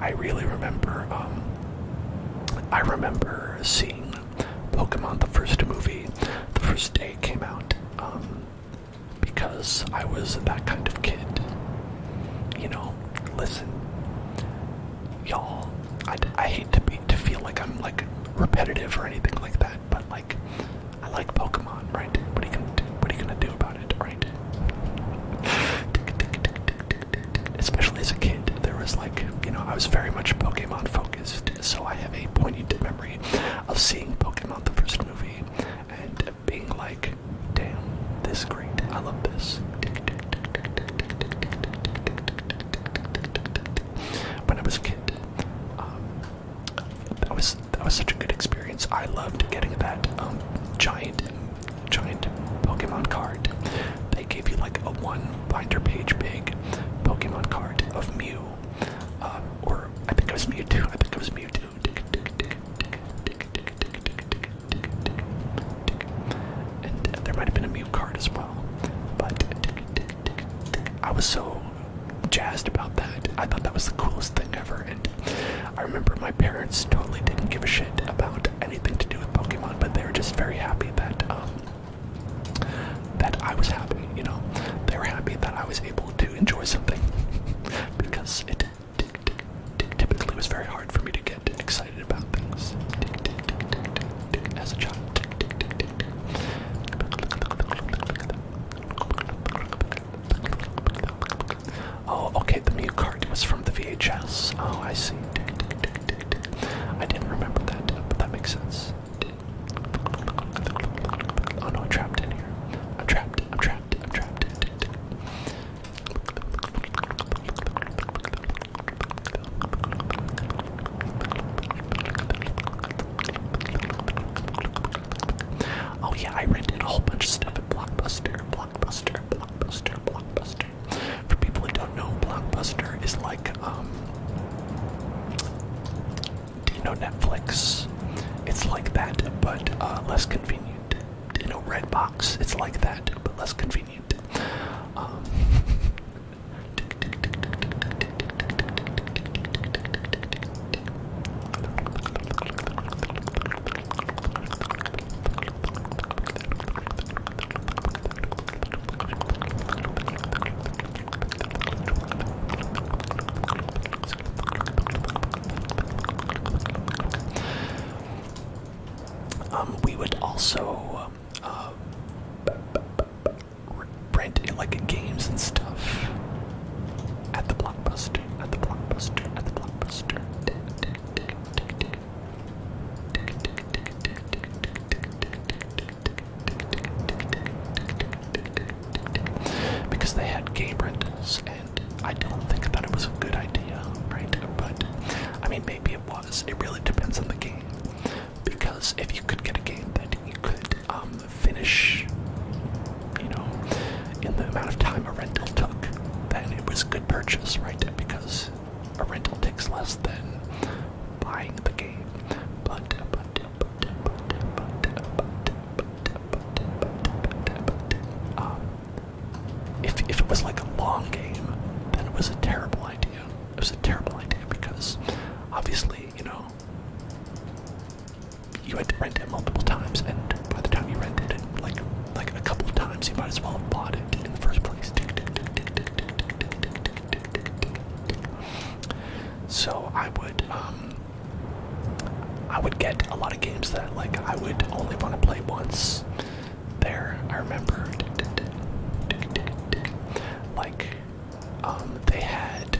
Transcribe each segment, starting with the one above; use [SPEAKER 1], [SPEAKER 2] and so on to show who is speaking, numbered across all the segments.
[SPEAKER 1] I really remember. Um, I remember seeing Pokemon the first movie, the first day it came out, um, because I was that kind of kid. You know, listen, y'all. I, I hate to be to feel like I'm like repetitive or anything like that, but like I like Pokemon, right? What are you gonna do? What are you gonna do about Especially as a kid, there was like, you know, I was very much Pokemon focused, so I have a poignant memory of seeing Pokemon the first movie and being like, damn, this is great, I love this. When I was a kid, um, that was that was such a good experience. I loved getting that um, giant giant Pokemon card. They gave you like a one binder page big Pokemon card of Mew. Uh, or I think it was Mewtwo. I think it was Mewtwo. And there might have been a Mew card as well. But I was so jazzed about that. I thought that was the coolest thing ever. I remember my parents totally didn't give a shit about anything to do with Pokemon, but they were just very happy that um, that I was happy. You know, they were happy that I was able to enjoy something because it typically was very hard for me to get excited about things as a child. Oh, okay, the mute card was from the VHS. Oh, I see. I didn't remember that, but that makes sense. Oh no, I'm trapped in here. I'm trapped, I'm trapped, I'm trapped. Oh yeah, I rented a whole bunch of stuff at Blockbuster. Blockbuster, Blockbuster, Blockbuster. For people who don't know, Blockbuster is like, um, do you know Netflix? It's like that, but uh, less convenient. Do you know Redbox? It's like that, but less convenient. Um, Um, we would also um, uh, like games and stuff. At the blockbuster, at the blockbuster, at the blockbuster. Because they had game rentals, and I don't think that it was a good idea, right? But I mean, maybe it was. It really depends on the game. Because if you could get a game that you could um, finish you know, in the amount of time a rental took, then it was a good purchase, right? Because a rental takes less than buying the game. But but but but but but but but um, if if it was like a long game, then it was a terrible idea. It was a terrible idea because obviously, you know, you had to rent it multiple times, and by the time you rented it like like a couple of times, you might as well have bought it in the first place. So I would um, I would get a lot of games that like I would only want to play once. There, I remember. Like, um, they had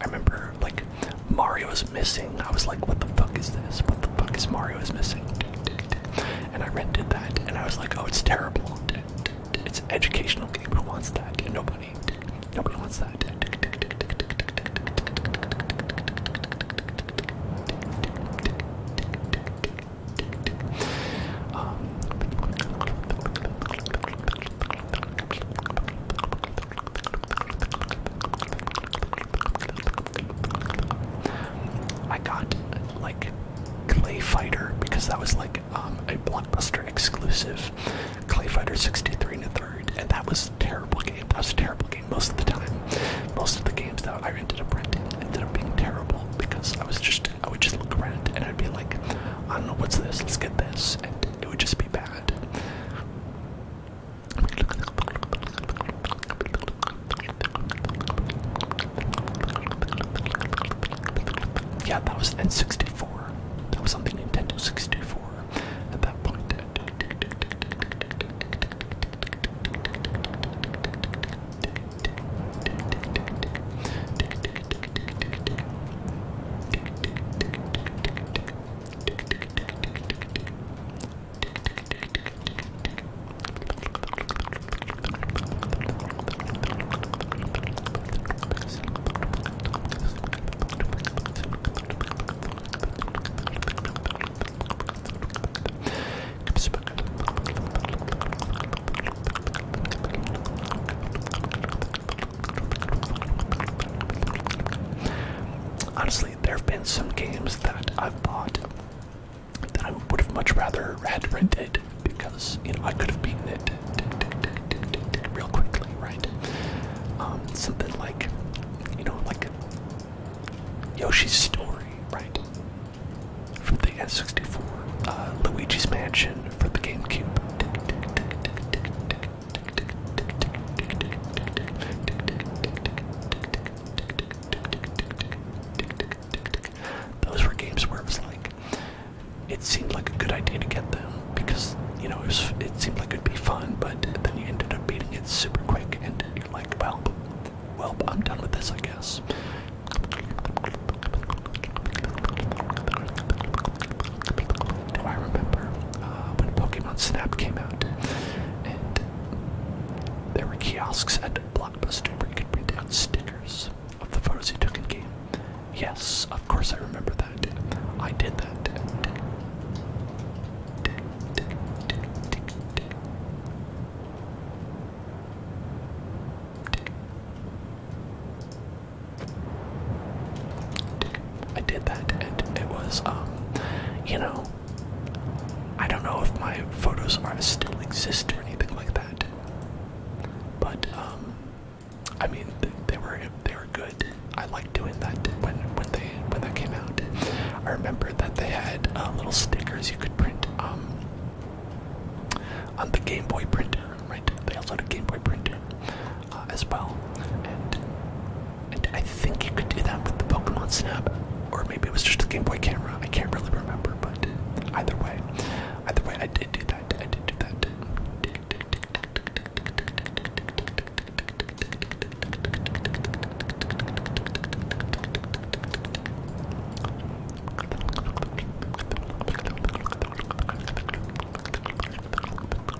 [SPEAKER 1] I remember like Mario's missing. I was like, what the fuck is this? What the fuck is Mario is missing? And I rented that and I was like, oh, it's terrible. It's an educational game. Who wants that? Nobody. Nobody wants that. Um, I got like Clay Fighter because that was like um, a blockbuster exclusive. Clay Fighter 63 and a third, and that was a terrible game. That was a terrible game most of the time. Most of the games that I ended up renting ended up being terrible because I was just I would just look around and I'd be like, I don't know what's this, let's get this, and it would just be bad. Yeah, that was in 64. That was something Nintendo 64 at that point. Honestly, there have been some games that I've bought that I would have much rather had rented because you know I could have beaten it real quickly, right? Um, something like you know like Yoshi's Story, right? For the s 64 uh, Luigi's Mansion for the GameCube. Those were games where it was like, it seemed like a good idea to get them because, you know, it, seemed like it'd be fun, but then you ended up beating it super quick and you're like, well, well, I'm done with this, I guess. I remember uh, when Pokemon Snap came out, and there were kiosks at Blockbuster where you could print out stickers of the photos you took in game. Yes, of course I remember that. I did that. I did that, and it was, um, you know, I don't know if my photos are still exist or anything like that, but um, I mean, they, were they were good. I liked doing that when when they when that came out. I remember that they had uh, little stickers you could print um, on the Game Boy printer, right? They also had a Game Boy printer. Uh, as well. And, and I think you could do that with the Pokemon Snap, or maybe it was just a Game Boy camera. I can't really remember, but either way, either way, I did do that. I did do that.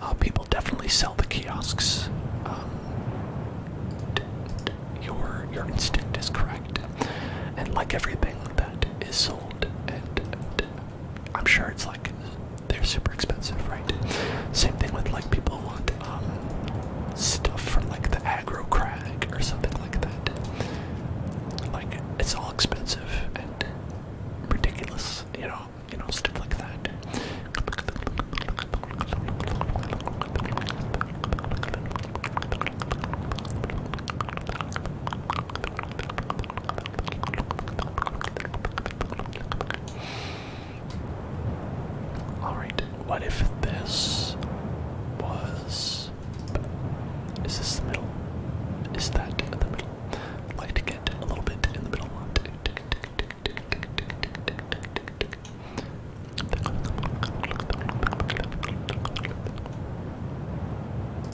[SPEAKER 1] Uh, people definitely sell the kiosks. Um, your your instinct is correct, and like everything that is sold and, I'm sure it's like they're super expensive, right? Same thing with like people want um, stuff from like the aggro crag or something like that. Like it's all expensive and ridiculous, you know, you know, stuff like that. Alright, what if this was. Is this the middle? Is that the middle? Like to get a little bit in the middle.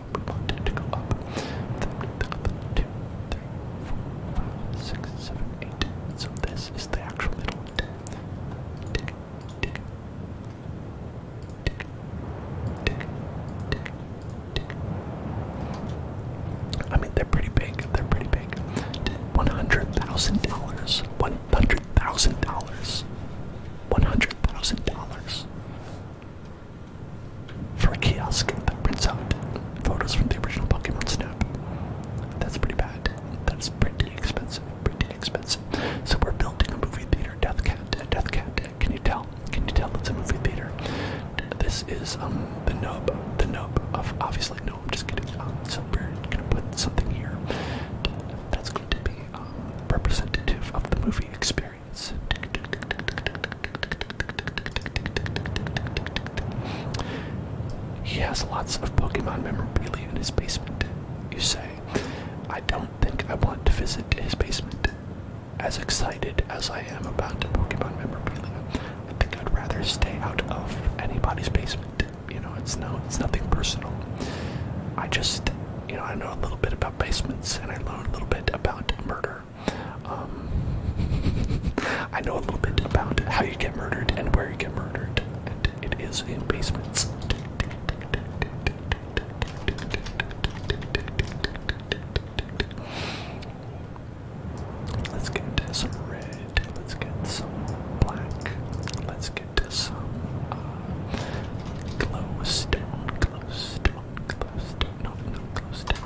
[SPEAKER 1] one, two, three, four, five, six, seven, eight. So this is the actual little tick, I mean, they're pretty big. They're pretty big. One hundred thousand dollars. One hundred thousand dollars. One hundred thousand dollars for a kiosk that prints out photos from the original Pokemon Snap. That's pretty bad. That's pretty expensive. Pretty expensive. So we're building a movie theater. Death Cat. Death Cat. Can you tell? Can you tell it's a movie theater? This is um the nub. The nub obviously no. I'm just kidding. Um, so we're gonna put something here that's going to be um, representative of the movie experience. He has lots of Pokemon memorabilia in his basement, you say. I don't think I want to visit his basement. As excited as I am about Pokemon memorabilia, I think I'd rather stay out of anybody's basement. You know, it's no it's nothing personal. I just you know, I know a little bit about basements and I know a little bit about murder. Um, I know a little bit about how you get murdered and where you get murdered, and it is in basements. Let's get some red, let's get some black, let's get some glowstone, uh, glowstone, glowstone.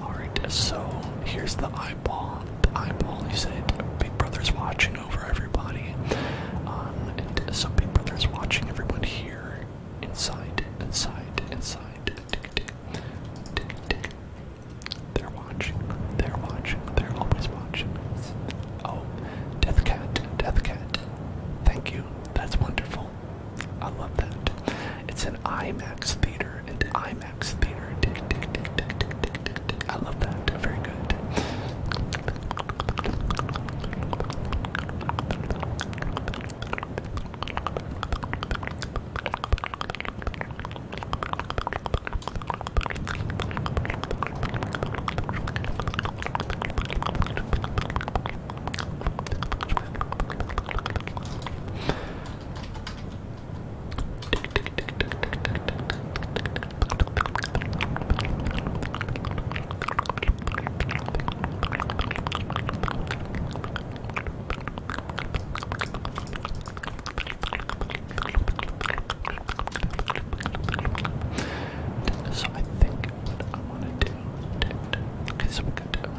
[SPEAKER 1] Alright, so here's the eyeball eyeball. He said, Big Brother's watching over everybody. Um, and so Big Brother's watching everyone here. Inside, inside, inside. Tick, tick, tick, tick. They're watching, they're watching, they're always watching. Oh, Death Cat, Death Cat. Thank you, that's wonderful. I love that. It's an IMAX theater, and IMAX Max Theater. I love that. Very good. So I think I want to do. Okay, so we're going to do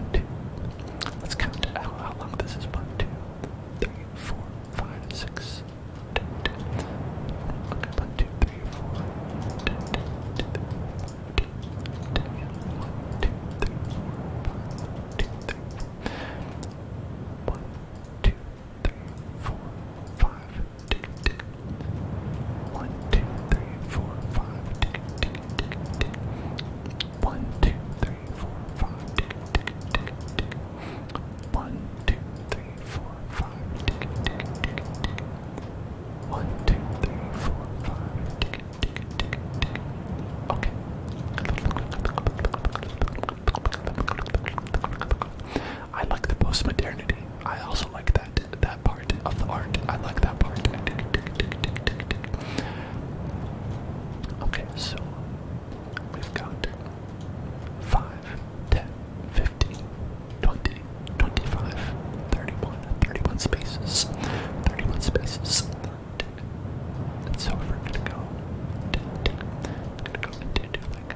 [SPEAKER 1] let Let's count how long this is. One, two, three, four, five, six, one, two, three, four. One, two, three, four. One, two, three, four. One, two, three, four, five. One, two, three, four, five. One, two, three, three, four, five, One, two, three, four, five, One, two, three, four, five, Okay. I like the post-modernity. I also like that that part of the art. I like that part. Okay, so we've got 5, 10, 15, 20, 25, 31, 31 spaces, 31 spaces. And so we're gonna go. We're gonna go into like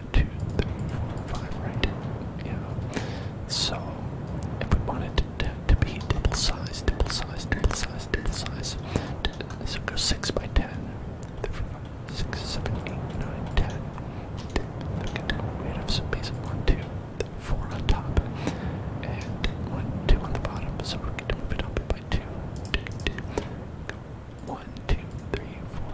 [SPEAKER 1] one, two, three, four, five, right? Yeah. So if we wanted to, to be double size, double size, double size, double size, so go six by ten. Three, four, five, six, seven, eight, nine, ten. We'd have some basic one, two, three, four on top, and one, two on the bottom. So we're going to move it up by Two, two. Go one, two, three, four,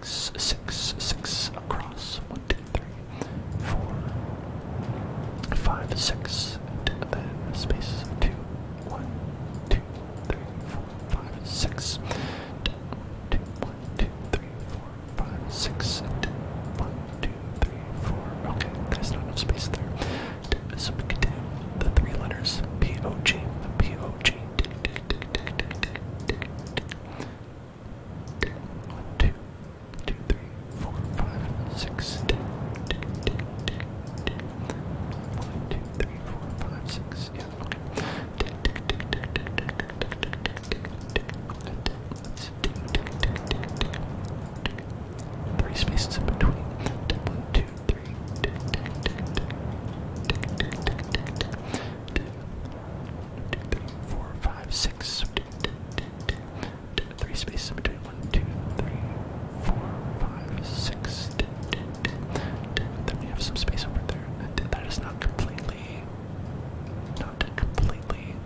[SPEAKER 1] six, six, six across. One, two, three, four, five, six, and then space two, one, two, three, four, five, six, two, one, two, three, four, five, six, and one, two, three, four. Okay, there's not enough space there. So we can do the three letters P O G P O G. Tick, tick, tick, tick, tick, tick, tick, tick, tick, two, two, three, four, five, six, ten, ten, ten, ten, ten. One, two, three, four, five, six, yeah, okay. Ten, ten, ten, ten, ten, ten, ten, ten, ten, ten, ten, ten. Let's tick, tick, tick, tick, tick, tick. Three spaces in between. Ten, one, two, three, tick, tick, tick, tick, tick, tick, tick, tick, tick. Two, two, three, four, five, six. Three spaces in between. One, two, three, four, five, six. Then we have some space over there. That is not completely, not completely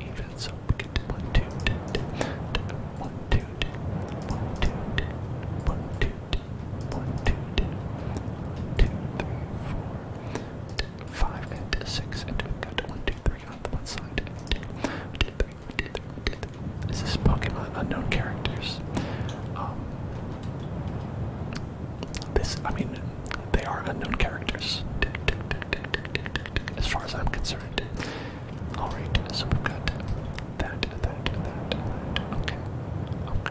[SPEAKER 1] even. So we can do one, two, one, two, one, two, one, two, one, two, one, two, three, four. 5 and 6 and we've got 1, 2, 3 on the one side. This is Pokemon Unknown Characters. Um, this, I mean, they are unknown characters, as far as I'm concerned. Alright, so we've got that, that, that, that, okay, okay,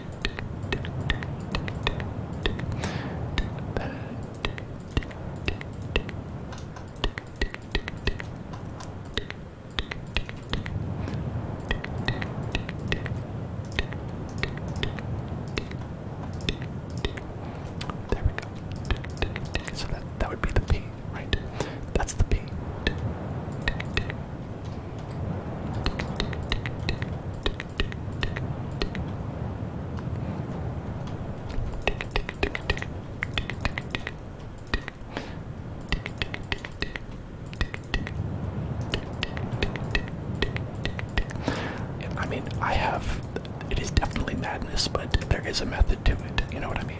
[SPEAKER 1] There we go. So that that would be the P, right? That's the P. I mean, I have. It is definitely madness, but there is a method to it. You know what I mean?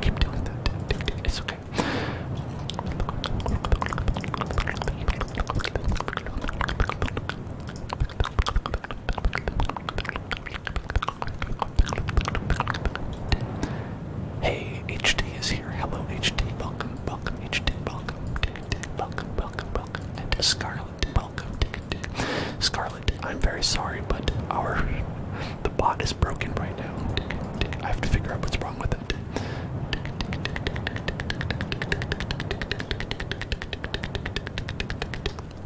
[SPEAKER 1] Keep doing that. It's okay. Hey, HD is here. Hello, HD. Welcome, welcome, HD. Welcome, welcome, welcome, welcome. And Scarlet, Scarlet, I'm very sorry, but our the bot is broken right now. I have to figure out what's wrong with it.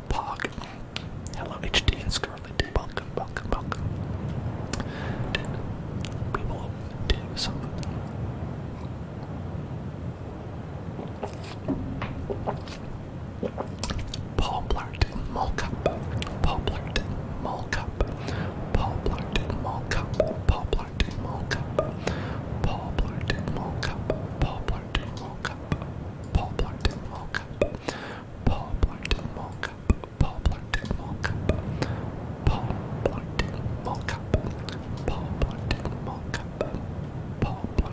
[SPEAKER 1] Pog. Hello, HD and Scarlet. Welcome, welcome, welcome. We will Paul Blart Mall Cup. Paul Blart Mall Cup. Paul Blart Mall Cup. Paul Blart Mall Cup. Paul Blart Mall Cup. Paul Blart Mall Cup. Paul Blart Mall Cup. Paul Blart Mall Cup. Paul Blart Mall Cup. Paul Blart Mall Cup. Paul Blart Mall Cup. Paul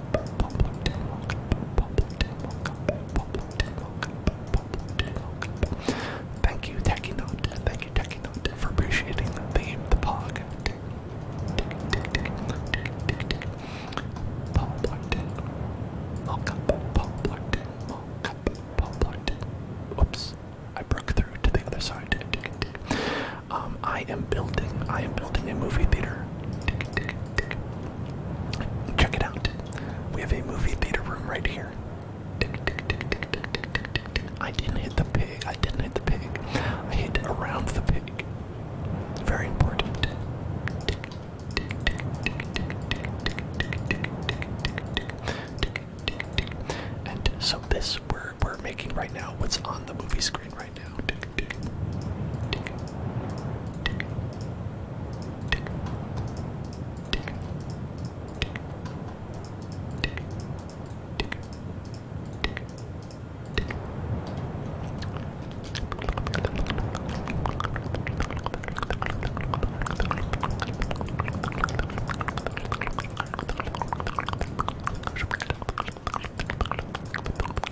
[SPEAKER 1] Thank you, Techie Note. Thank you, Techie Note, for appreciating the theme, the pog. Oops, I broke through to the other side. Um, I am building. I am building a movie theater. Tick, tick, Check it out. We have a movie theater room right here. I didn't hit the pig. I didn't hit the pig. I hit around the pig. Very important. And so this we're we're making right now what's on the movie screen right now. Tick, tick, tick, tick, tick, tick, tick, tick, tick, tick, tick.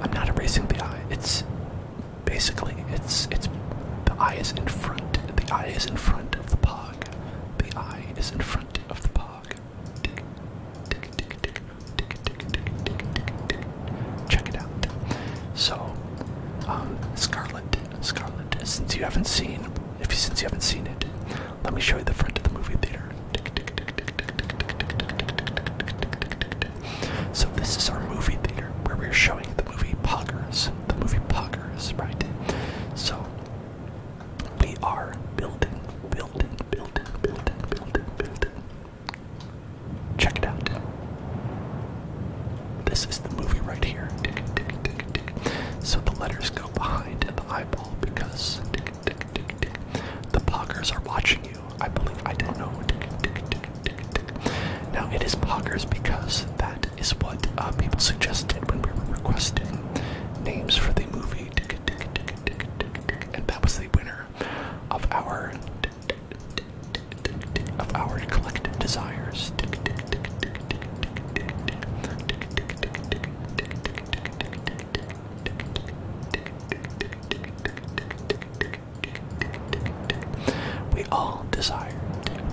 [SPEAKER 1] I'm not erasing the eye. It's basically it's it's the eye is in front. The eye is in front of the pug. The eye is in front of the pog. Check it out. So, Scarlet, Scarlet. Since you haven't seen, if since you haven't seen it, let me show you the front of the movie theater. So this is our movie theater where we're showing the movie Poggers, the movie Poggers, right? So we are building, building, building, building, building, building. Check it out. This is the movie right here. So the letters go behind the eyeball because the poggers are watching you. I believe I don't know. Now it is poggers because that is what people suggested when we were requesting names for the movie. And that was the winner of our of our collective desires. We all desire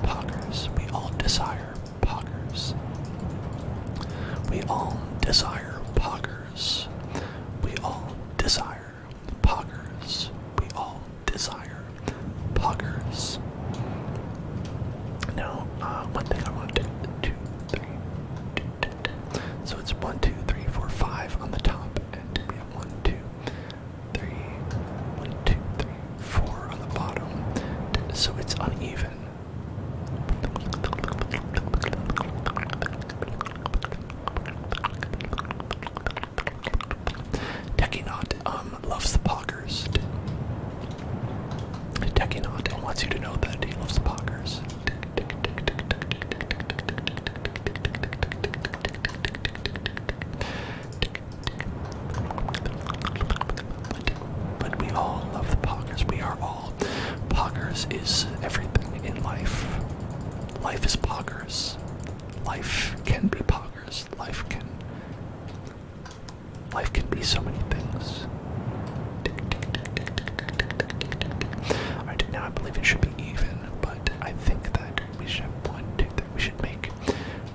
[SPEAKER 1] poggers. We all desire poggers. We all desire poggers. We all desire poggers. We all desire poggers. Now, uh, one thing I want to do, So it's one, two, three, four, five on the top, and we have one, two, three, one, two, three, four on the bottom, so it's uneven. Techinot um loves the poggers. Techinot wants you to know that he loves the poggers. But we all love the poggers. We are all. Poggers is everything in life. Life is poggers. Life can be poggers. Life can. Life can be so many things. Alright, now I believe it should be even, but I think that we should have one, two, three. We should make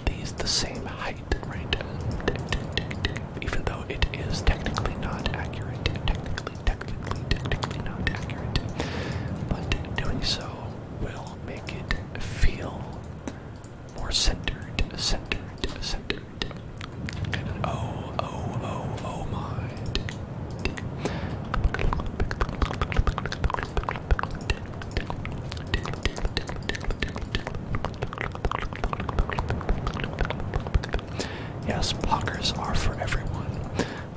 [SPEAKER 1] these the same height, right? Even though it is technically not accurate, technically, technically, technically not accurate, but doing so will make it feel more centered, centered, centered. oh, oh, oh, oh my. Yes, poggers are for everyone.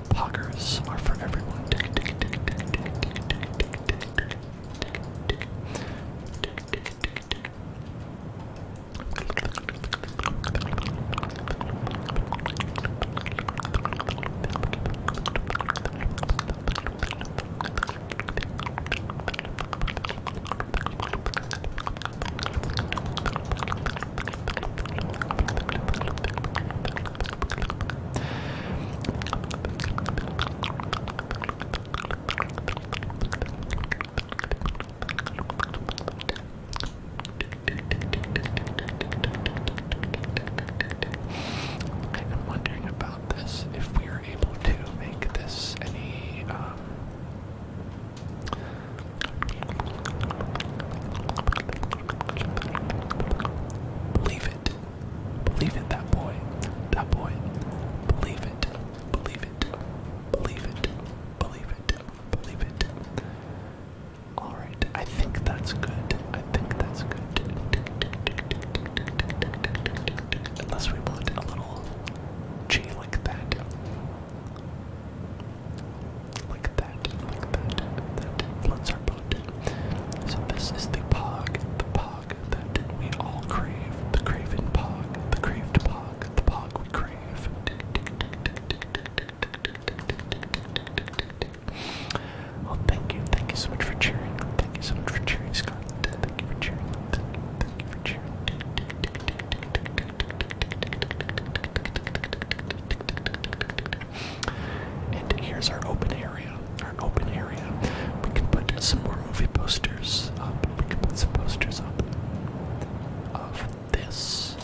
[SPEAKER 1] Poggers are for everyone. I'm wondering about this if we are able to make this any um, believe it believe it that boy that boy believe it believe it believe it believe it believe it all right I think that's good I think that's good Unless we want a little G like that. Like that, like that, that floods our boat. So this is the pog, the pog that we all crave. The craven pog, the craved pog, the pog we crave. Well, thank you, thank you so much for cheering. Thank you so much for cheering, Scott. Thank you for cheering. And here's our open area. Our open area. We can put some more movie posters up. We can put some posters up of this.